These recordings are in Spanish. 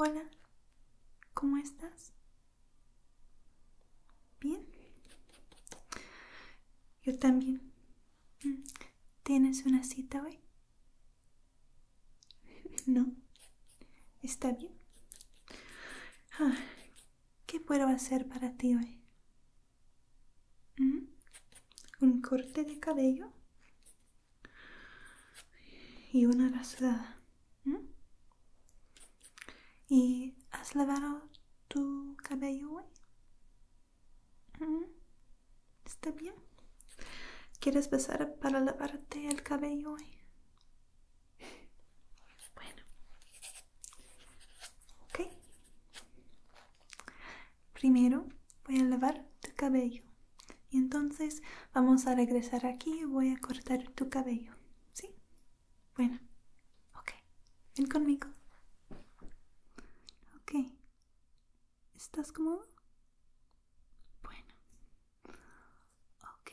Hola, ¿cómo estás? Bien. Yo también. Mm, ¿Tienes una cita hoy? No. Está bien. Ah, ¿Qué puedo hacer para ti hoy? ¿Mm? ¿Un corte de cabello? Y una rasurada. ¿Mm? ¿Y has lavado tu cabello hoy? ¿Mm? ¿Está bien? ¿Quieres pasar para lavarte el cabello hoy? Bueno. Ok. Primero voy a lavar tu cabello. Y entonces vamos a regresar aquí y voy a cortar tu cabello. ¿Sí? Bueno. Ok. Ven conmigo. Ok. ¿Estás cómodo? Bueno. Ok.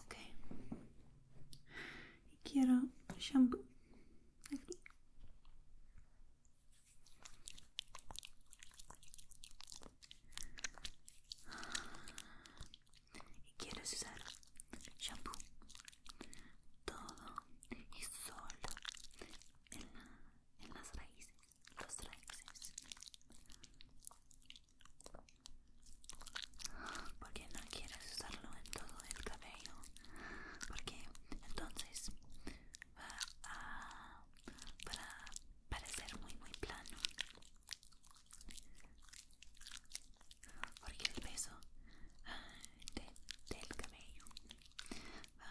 Ok. Y quiero shampoo. Aquí. Y quieres usar shampoo todo y solo en las raíces los raíces porque no quieres usarlo en todo el cabello porque entonces va a para parecer muy muy plano porque el peso ah, del cabello va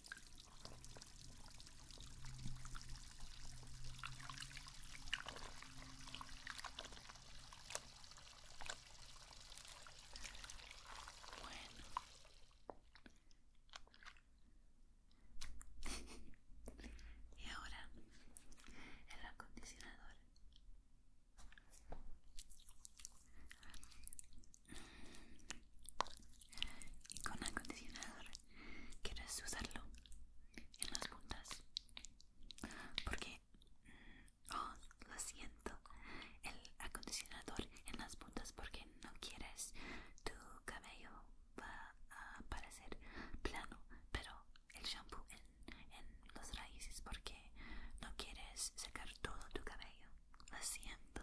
Bueno y ahora el acondicionador y con acondicionador quieres usarlo en las puntas porque mm, oh lo siento el acondicionador en las puntas porque no quieres tu cabello va a parecer plano pero el shampoo en, las raíces porque no quieres secar todo tu cabello lo siento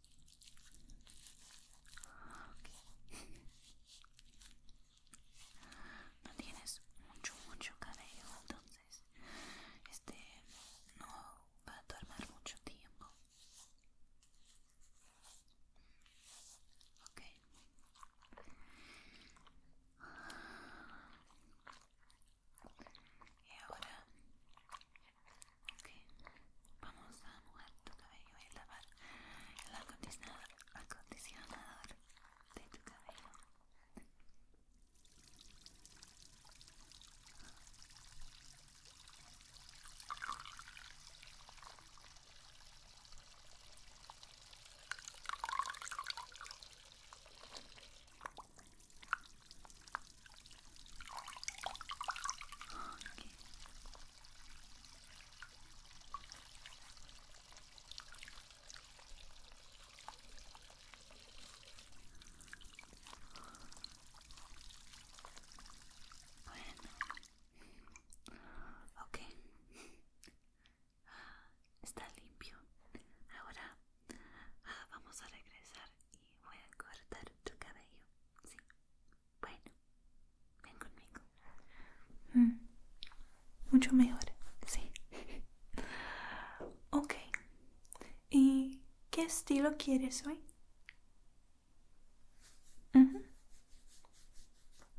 No tienes mucho, mucho cabello, entonces este no va a tomar mucho tiempo. Okay. Y ahora, Vamos a mojar tu cabello y lavar el acondicionador, acondicionador de tu cabello. Okay. Bueno, ok, está limpio. Ahora ah, vamos a regresar y voy a cortar tu cabello, sí. Bueno, ven conmigo. Mm. mucho mejor, sí. ok. ¿Y qué estilo quieres hoy?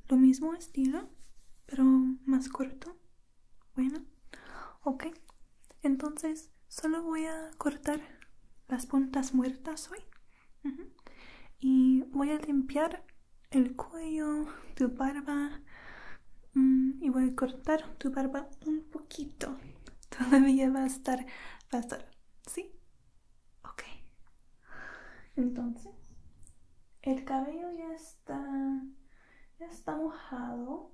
Lo mismo estilo, pero más corto. Bueno, ok. Entonces, solo voy a cortar las puntas muertas hoy. Y voy a limpiar el cuello, tu barba mm, y voy a cortar tu barba un poquito. Todavía va a estar, va ¿sí? Ok. Entonces, el cabello ya está, ya está mojado.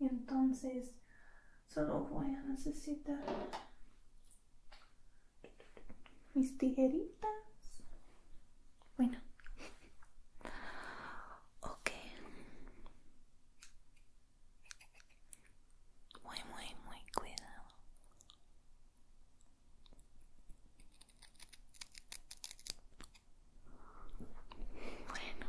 Y entonces solo voy a necesitar mis tijeritas. Bueno, ok. Muy, muy, muy cuidado. Bueno.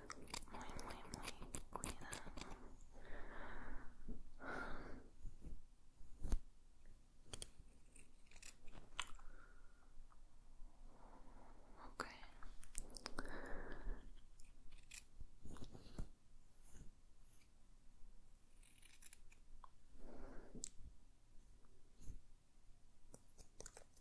muy, muy, muy cuidado.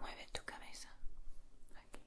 Mueve tu cabeza aquí.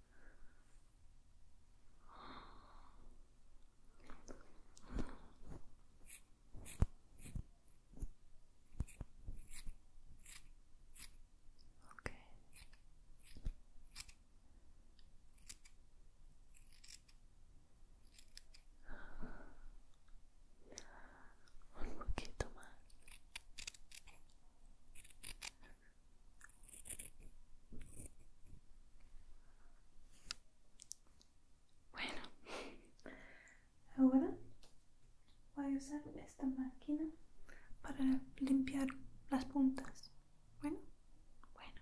Okay. Un poquito más. Bueno, ahora voy a usar esta máquina para limpiar las puntas. Bueno, bueno.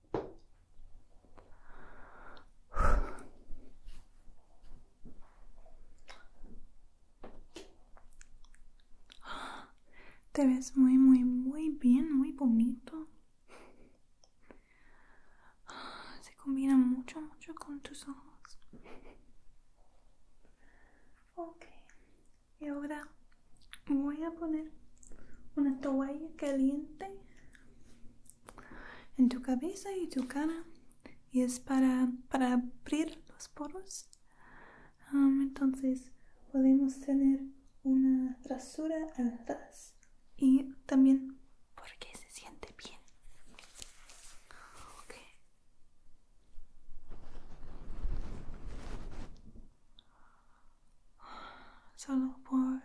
Te ves muy, muy, muy bien, muy bonito. Se combina mucho, mucho con tus ojos. Ok, y ahora voy a poner una toalla caliente en tu cabeza y tu cara y es para, abrir los poros. entonces podemos tener una rasura al y también porque se siente bien. Solo por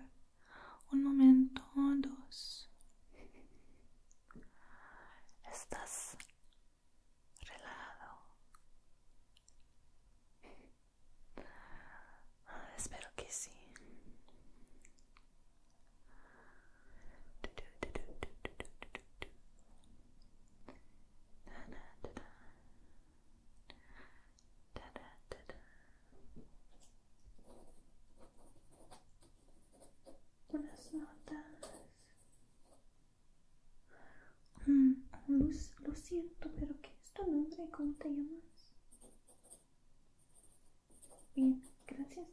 un momento, dos. Estás relado. Ah, espero que sí ta ta Unas notas. Mm, lo siento, pero ¿qué es tu nombre? ¿Cómo te llamas? Bien, gracias.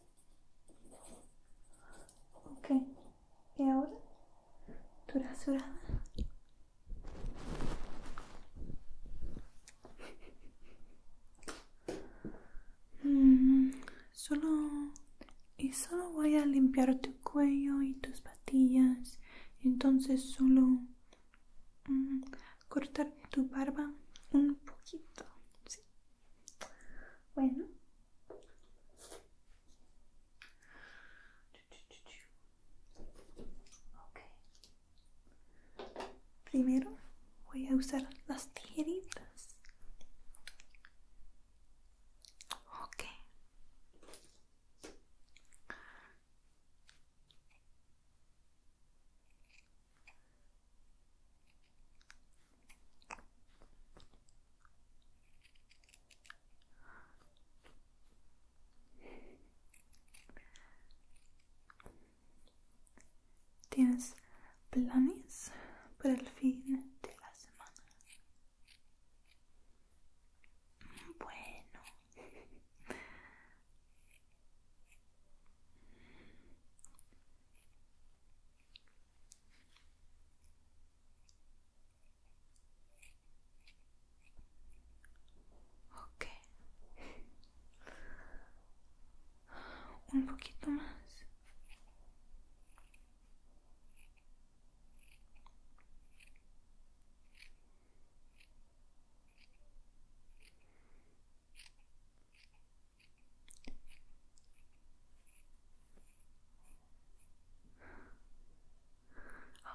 Okay. ¿y ahora? ¿Tu rasurada? Mm, solo y solo voy a limpiar tu cuello y tus patillas. Entonces solo mm, cortar tu barba un poquito. Bueno. Primero voy a usar las tijeritas. ¿Tienes planes para el fin de la semana? Bueno. un poquito más.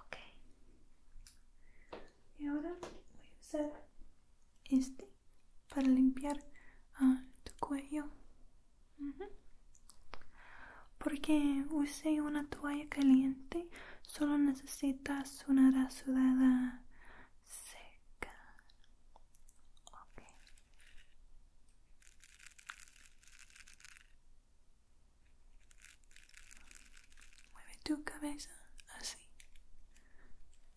Okay y ahora voy a usar este para limpiar ah, tu cuello porque usé una toalla caliente solo necesitas una rasurada seca mueve tu cabeza así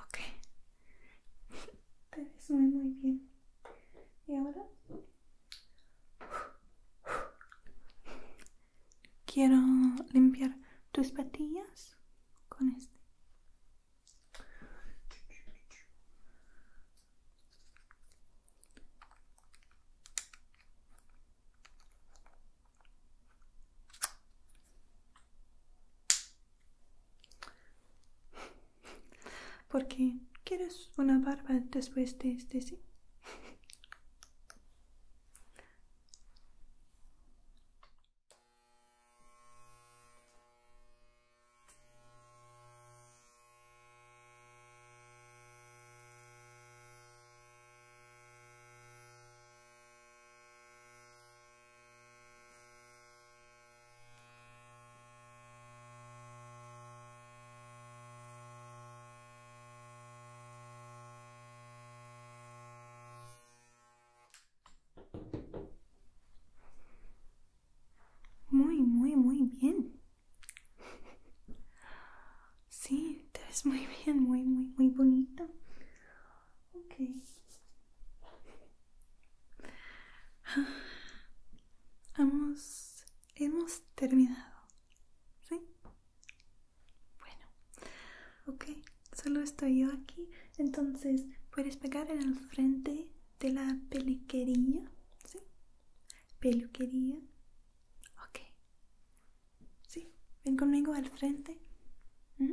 Ok. Te ves muy, muy bien. ¿Y ahora? Quiero limpiar tus patillas con este. Porque quieres una barba después de este, sí. Muy, muy, muy bien. Sí, te muy bien, muy, muy, muy bonita. Ok. Hemos, hemos terminado. ¿Sí? Bueno. Ok, solo estoy yo aquí. Entonces, puedes pegar en el frente de la peluquería. ¿Sí? Peluquería. Ok. Sí, ven conmigo al frente. ¿Mm?